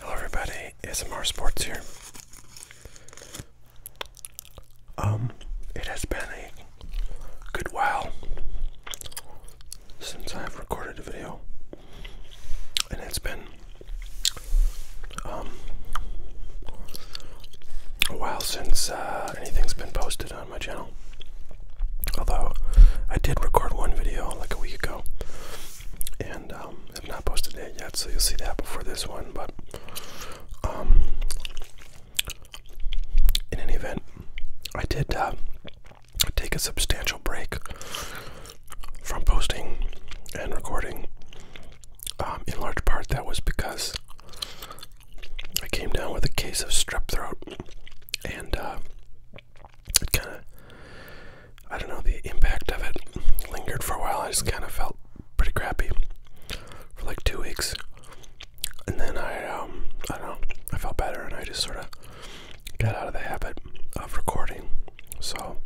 Hello everybody, ASMR Sports here. Um, it has been a good while since I've recorded a video. And it's been um a while since uh, anything's been posted on my channel. Although I did record one video like a week ago and um, have not posted it yet, so you'll see that before this one. But um, in any event, I did uh, take a substantial break from posting and recording. Um, in large part, that was because I came down with a case of strep throat, and uh, it kind of, I don't know, the impact of it lingered for a while. I just kind of felt pretty crappy for like two weeks. And then I, um, I don't know, I felt better and I just sort of got out of the habit of recording. So,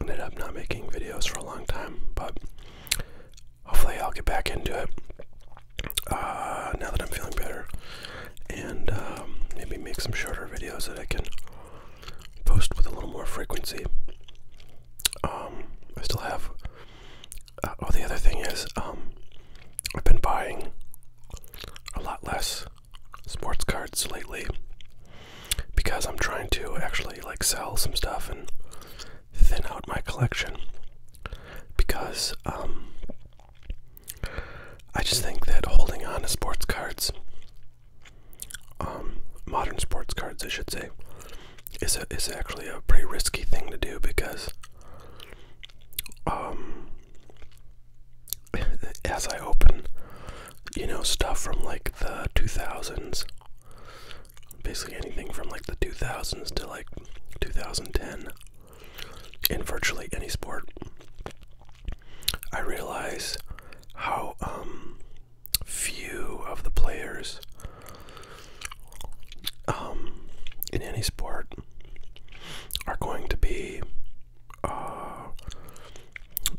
ended up not making videos for a long time, but hopefully I'll get back into it. Uh, now that I'm feeling better, and um, maybe make some shorter videos that I can post with a little more frequency. Um, I still have. Uh, oh, the other thing is, um, I've been buying a lot less sports cards lately because I'm trying to actually like sell some stuff and thin out my collection because I just think that holding on to sports cards, um, modern sports cards, I should say, is a, is actually a pretty risky thing to do because, um, as I open, you know, stuff from like the two thousands, basically anything from like the two thousands to like two thousand ten in virtually any sport. I realize how um, few of the players um, in any sport are going to be, uh,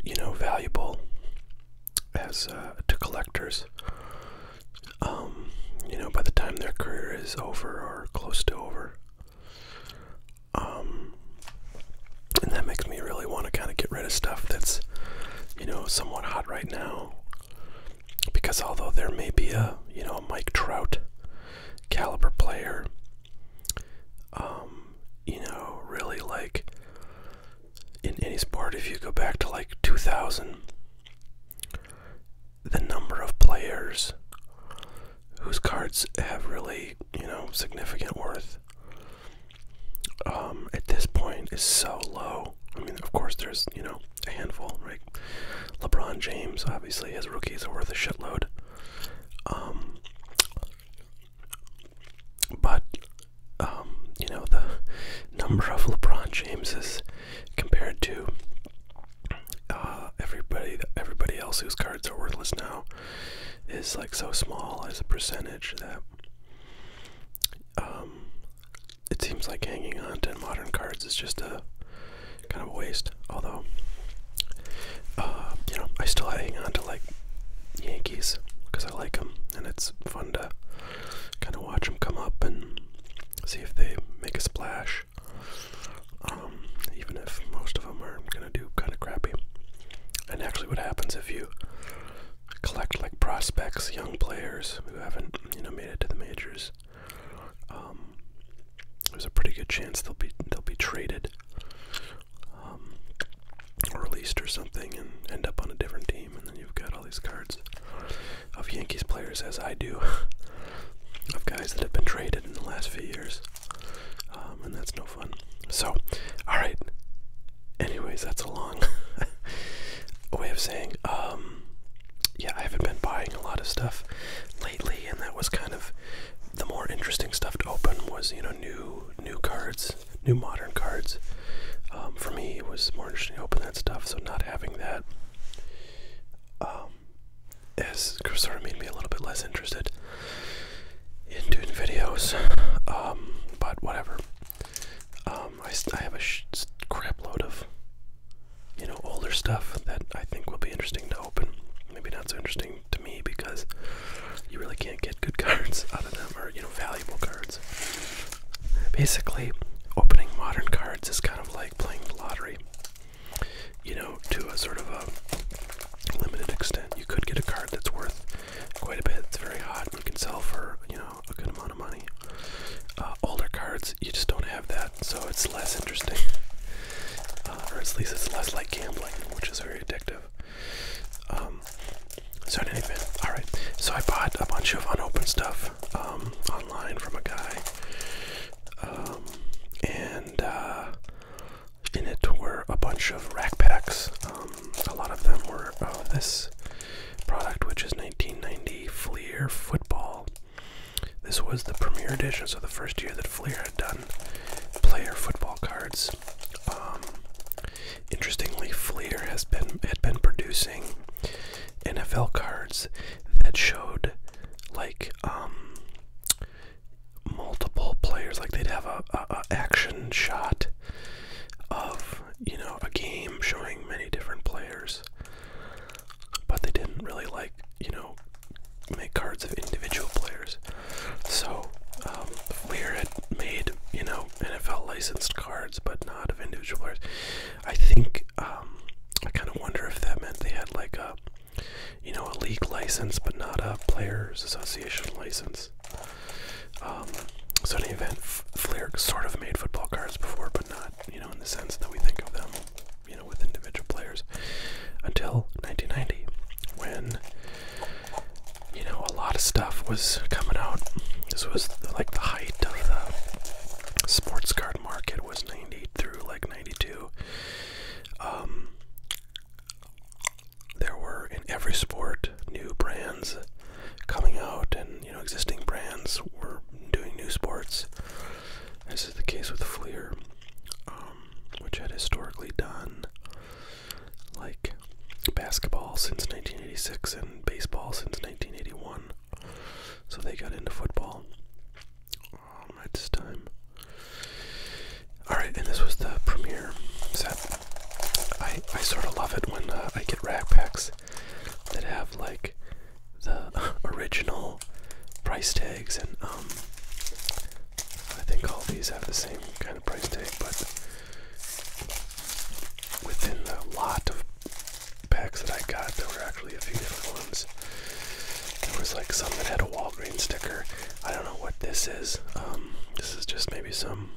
you know, valuable as uh, to collectors. Um, you know, by the time their career is over or close to over, um, and that makes me really want to kind of get rid of stuff that's, you know, somewhat hot right now. Because although there may be a, you know, Mike Trout caliber player, um, you know, really like in any sport, if you go back to like 2000, the number of players whose cards have really, you know, significant worth um, at this point is so low. I mean, of course, there's, you know, a handful, right? LeBron James, obviously, his rookies are worth a shitload. Um, but, um, you know, the number of LeBron Jameses compared to uh, everybody everybody else whose cards are worthless now is like so small as a percentage that um, it seems like hanging on to modern cards is just a kind of waste. Although, uh, you know, I still hang on to like Yankees because I like them, and it's fun to kind of watch them come up and see if they make a splash. Um, even if most of them are gonna do kind of crappy. And actually, what happens if you collect like prospects, young players who haven't, you know, made it to the majors? Um, there's a pretty good chance they'll be they'll be traded um, or released or something, and end up on a different team, and then you've got all these cards of Yankees players as I do, of guys that have been traded in the last few years. Um, and that's no fun. So, alright. Anyways, that's a long way of saying, um, yeah, I haven't been buying a lot of stuff lately, and that was kind of the more interesting stuff to open was, you know, new new cards, new modern cards. Um, for me, it was more interesting to open that stuff, so not having that has sort of made me a little bit less interested in doing videos. Um, but whatever. Um, I, have a sh load of you know older stuff that I think will be interesting to open. Maybe not so interesting to me because you really can't get good cards out of them or you know valuable cards. Basically, opening modern cards is kind of like playing the lottery you know, to a sort of a limited extent. You could get a card that's worth quite a bit. It's very hot. You can sell for you know a good amount of money. Uh, older cards, you just don't have that, so it's less interesting, uh, or at least it's less like gambling, which is very addictive. Um, so in any event, all right. So I bought a bunch of unopened stuff um, online from a guy um, and uh, in it were a bunch of rack packs. Um, a lot of them were uh, this product, which is 1990 Fleer Football. This was the premiere edition, so the first year that Fleer had done player football cards. Um, interestingly, Fleer has been had been producing NFL cards that showed like um multiple players like they'd have a, a, a action shot of you know a game showing many different players but they didn't really like you know make cards of individual players so um, Lear had made you know NFL licensed cards but not of individual players I think um, I kind of wonder if that meant they had like a, you know, a league license, but not a players' association license. Um, so in any event, Flair sort of made football cards before, but not, you know, in the sense that we think of them, you know, with individual players, until 1990, when, you know, a lot of stuff was coming out. This was like the height of the sports card market was 90 through like 92. Um, there were in every sport new brands coming out, and you know existing brands were doing new sports. This is the case with Fleer, um, which had historically done like basketball since 1986 and baseball since 1981 so they got into football at this time. Alright, and this was the premiere set. I, I sort of love it when uh, I get rack packs that have like the original price tags, and um, I think all these have the same kind of price tag, but within the lot of packs that I got, there were actually a few different ones. There was like some that had a Walgreens sticker. I don't know what this is. Um, this is just maybe some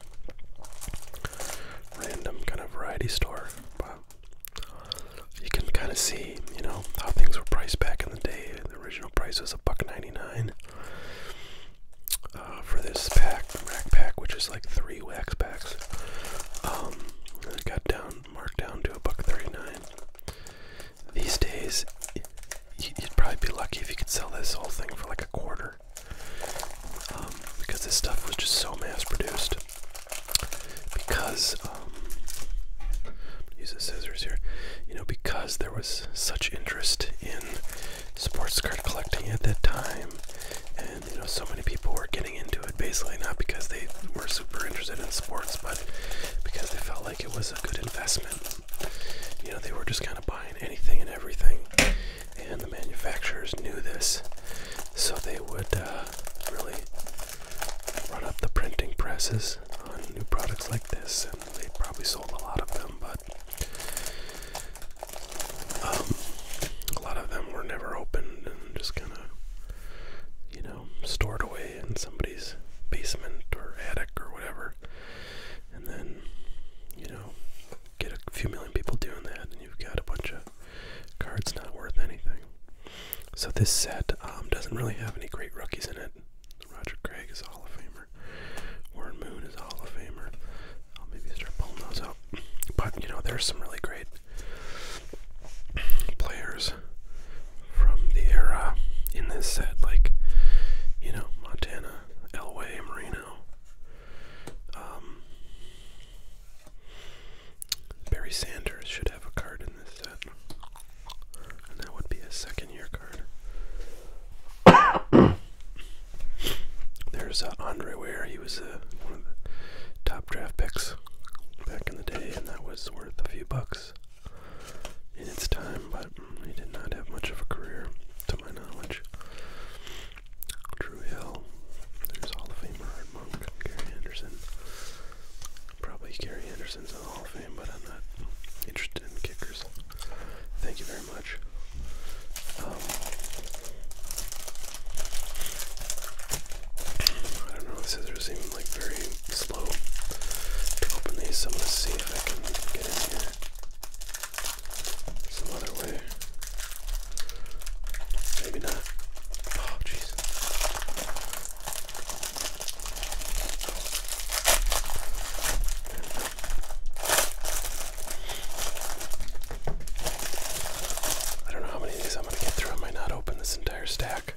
random kind of variety store. But you can kind of see, you know, how things were priced back in the day. The original price was a buck ninety nine. Uh, for this pack, rack pack, which is like three wax packs, um, I got down marked down to a buck thirty-nine. These days, you'd probably be lucky if you could sell this whole thing for like a quarter, um, because this stuff was just so mass-produced. Because um, use the scissors here, you know, because there was such interest in sports card collecting at that time, and you know so many people were getting into it basically not because they were super interested in sports but because they felt like it was a good investment you know they were just kind of buying anything and everything and the manufacturers knew this so they would uh, really run up the printing presses on new products like this and they probably sold a lot of them but um, a lot of them were never opened and just kind of, you know, stored away in somebody's basement or attic or whatever. And then, you know, get a few million people doing that, and you've got a bunch of cards not worth anything. So this set um, doesn't really have any great rookies in it. Roger Craig is a Hall of Famer. Warren Moon is a Hall of Famer. I'll oh, maybe start pulling those out. But you know, there's some really great players from the era in this set, like you know, Montana, Elway, Marino, um, Barry Sanders should have a card in this set, and that would be a second year card. There's uh, Andre Ware. He was uh, one of the top draft picks back in the day, and that was worth a few bucks in its time, but he did not have much of a career, to my knowledge. Drew Hill. There's Hall of Famer Art Monk. Gary Anderson. Probably Gary Anderson's in the Hall of Fame, but I'm not interested in kickers. Thank you very much. I don't know scissors seem like very slow to open these, I'm gonna see if I can get in here some other way. Maybe not. Oh, jeez. I don't know how many of these I'm going to get through. I might not open this entire stack,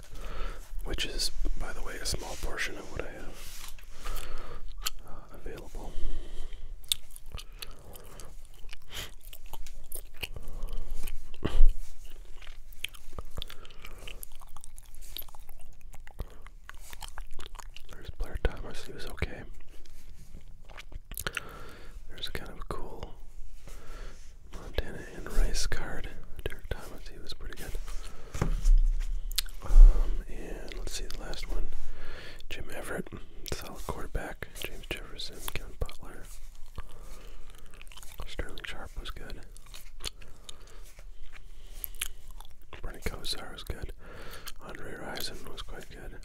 which is, by the way, a small portion of what I have uh, available. There's Blair Thomas, he was okay. There's a kind of a cool Montana and Rice card. Derek Thomas, he was pretty good. Um, and let's see the last one. Jim Everett, solid quarterback. James Jefferson, Kevin Butler. Sterling Sharp was good. Bernie Kosar was good. Andre Rison was quite good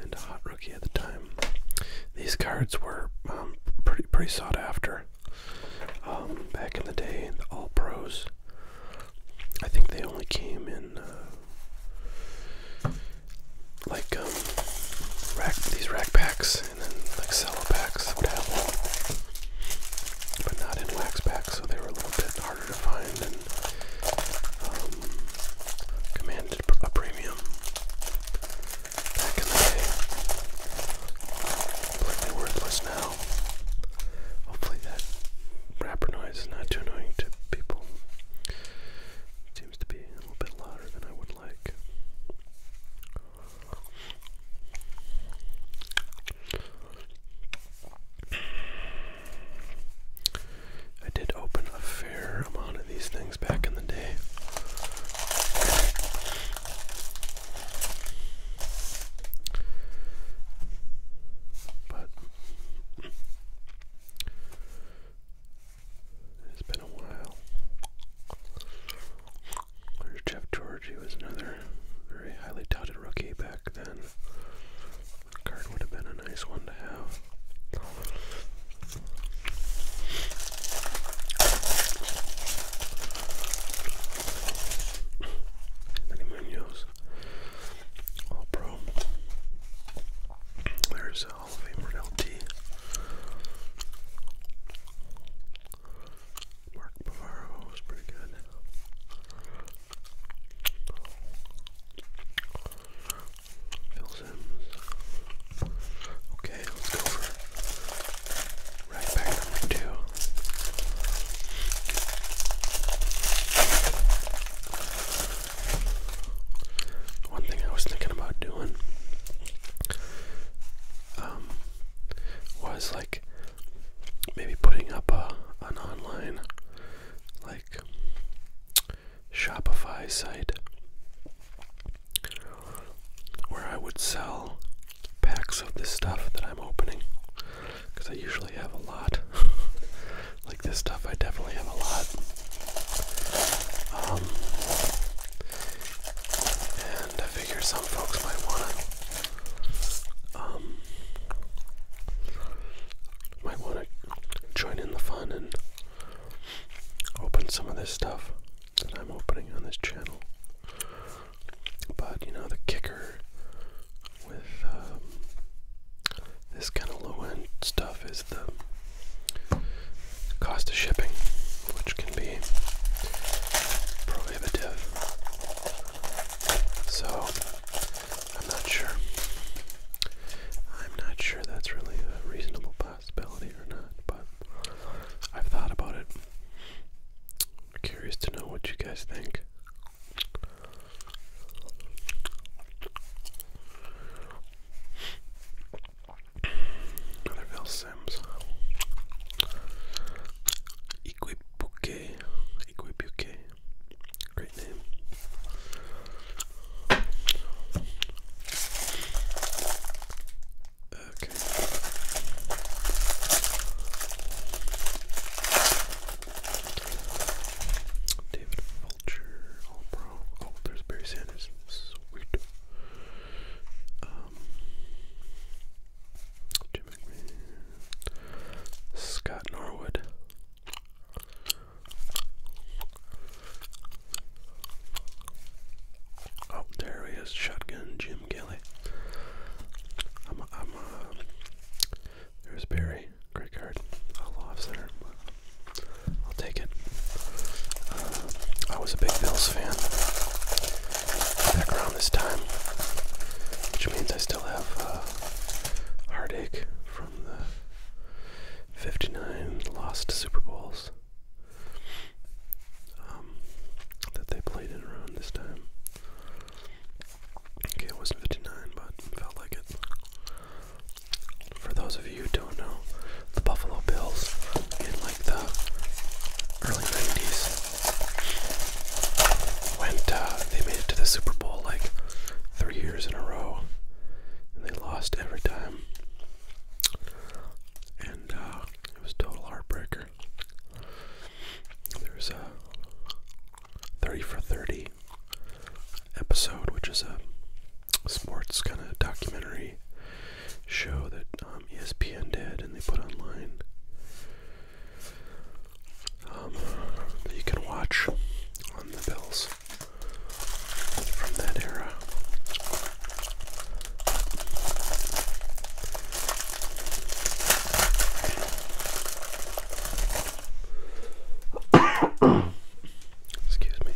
and a hot rookie at the time. These cards were um, pretty pretty sought after um, back in the day. The all pros. I think they only came in uh, like um, these rack packs and then like cello packs would have but not in wax packs, so they were a little bit harder to um, commanded a premium back in the day. Completely worthless now. Hopefully that rapper noise is not too annoying to people. seems to be a little bit louder than I would like. I did open a fair amount of these things back in the day. But it's been a while. There's Jeff George, he was another very highly touted rookie back then. Card would have been a nice one to have. Many Munoz. All pro. There's a Hall of Famer LT. Mark Bavaro was pretty good. Okay, let's go for right back number two. One thing I was thinking about doing um, was like maybe putting up a an online like Shopify site where I would sell packs of this stuff that I'm opening because I usually have a lot. like this stuff, I definitely have a lot. Um, and I figure some folks might want to um, might want to join in the fun and open some of this stuff that I'm opening on this channel. But you know, the kicker with um, this kind of low end stuff is the cost of shipping, which can be prohibitive. So I'm not sure. I'm not sure that's really a reasonable possibility or not, but I've thought about it. curious to know what you guys think. Another Bill Sims. Equipuke. Equipuke. Great Okay. David Vulture, all pro. Oh, Barry Sanders. Sweet. Um, Jim McMahon. Scott Norwood. Oh, there he is, Shotgun Jim Gilly. I'm, a, I'm, there's Barry, great card. I'll center, I'll take it. Uh, I was a big Bills fan back around this time, which means I still have uh, heartache from the 59 lost Super Bowls um, that they played in around this time. Okay, it wasn't 59, but felt like it. For those of you who don't know, the Buffalo Bills in like the early 90s went, uh, they made it to the Super Bowl like three years in a row, and they lost every time. And uh, it was total heartbreaker. There's a 30 for 30 episode, which is a sports kind of documentary show that um, ESPN did and they put online. Um, that you can watch on the bills from that era. Excuse me.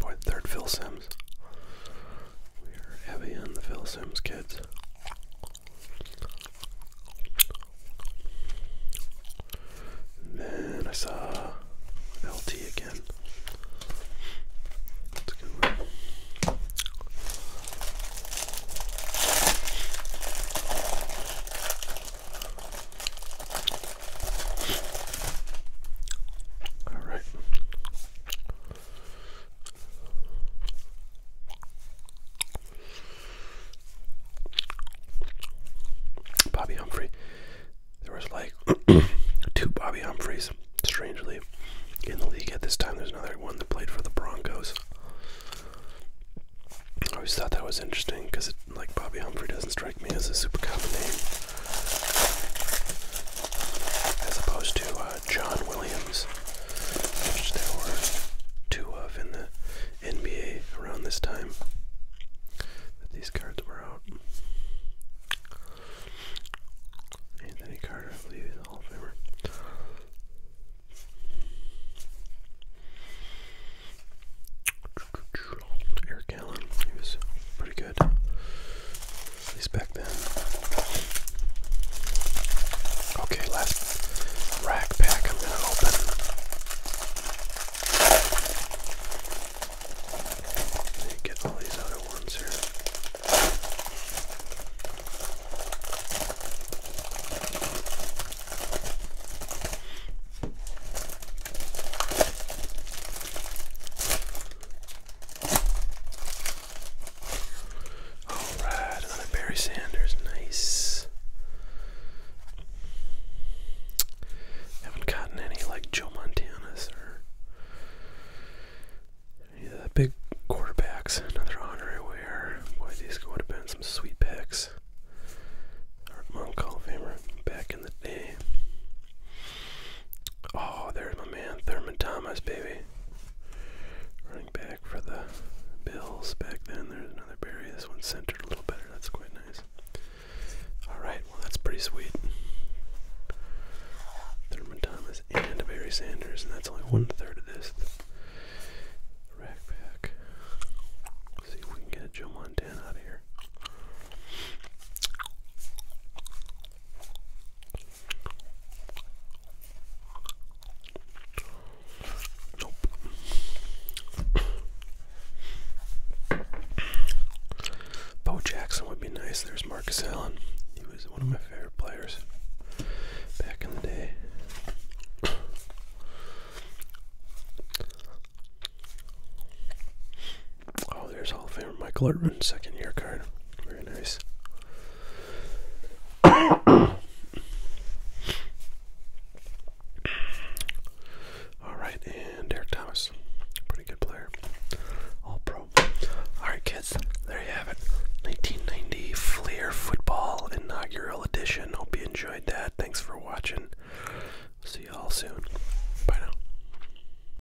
Boy, third Phil Sim we are heavy on the Phil Sims kids. then I saw LT again. That's a good one. All right. Bobby Humphrey. There was like two Bobby Humphreys, strangely, in the league at this time. There's another one that played for the Broncos. I always thought that was interesting because, like, Bobby Humphrey doesn't strike me as a super common name, as opposed to uh, uh, John Williams, which there were two of in the NBA around this time that these cards were out. Anthony Carter, I believe, is a Hall of Famer. Eric Allen, he was pretty good. At back then. Okay, last rack pack I'm gonna open. get all these other ones here. Alright, another Barry Sanders, nice. Haven't gotten any like Joe Montana's or the big quarterbacks. Another honorary wear. Boy, these would have been some sweet picks. Art Monk Hall of Famer back in the day. Oh, there's my man, Thurman Thomas, baby. Running back for the Bills back then. There's another Barry. This one's centered a little better. That's quite nice. Alright, well, that's pretty sweet. Thurman Thomas and Barry Sanders, and that's only one third of this rack pack. see if we can get a Joe Montana out of here. Bo Jackson would be nice. There's Marcus Allen. He was one of my favorite players back in the day. Oh, there's Hall of Famer Michael Irvin, second year card. Very nice. All right, and Eric Thomas, pretty good player, all pro. All right, kids, there you have it. 1990 Fleer Football Inaugural Edition. Hope you enjoyed that. Thanks for watching. See you all soon. Bye now.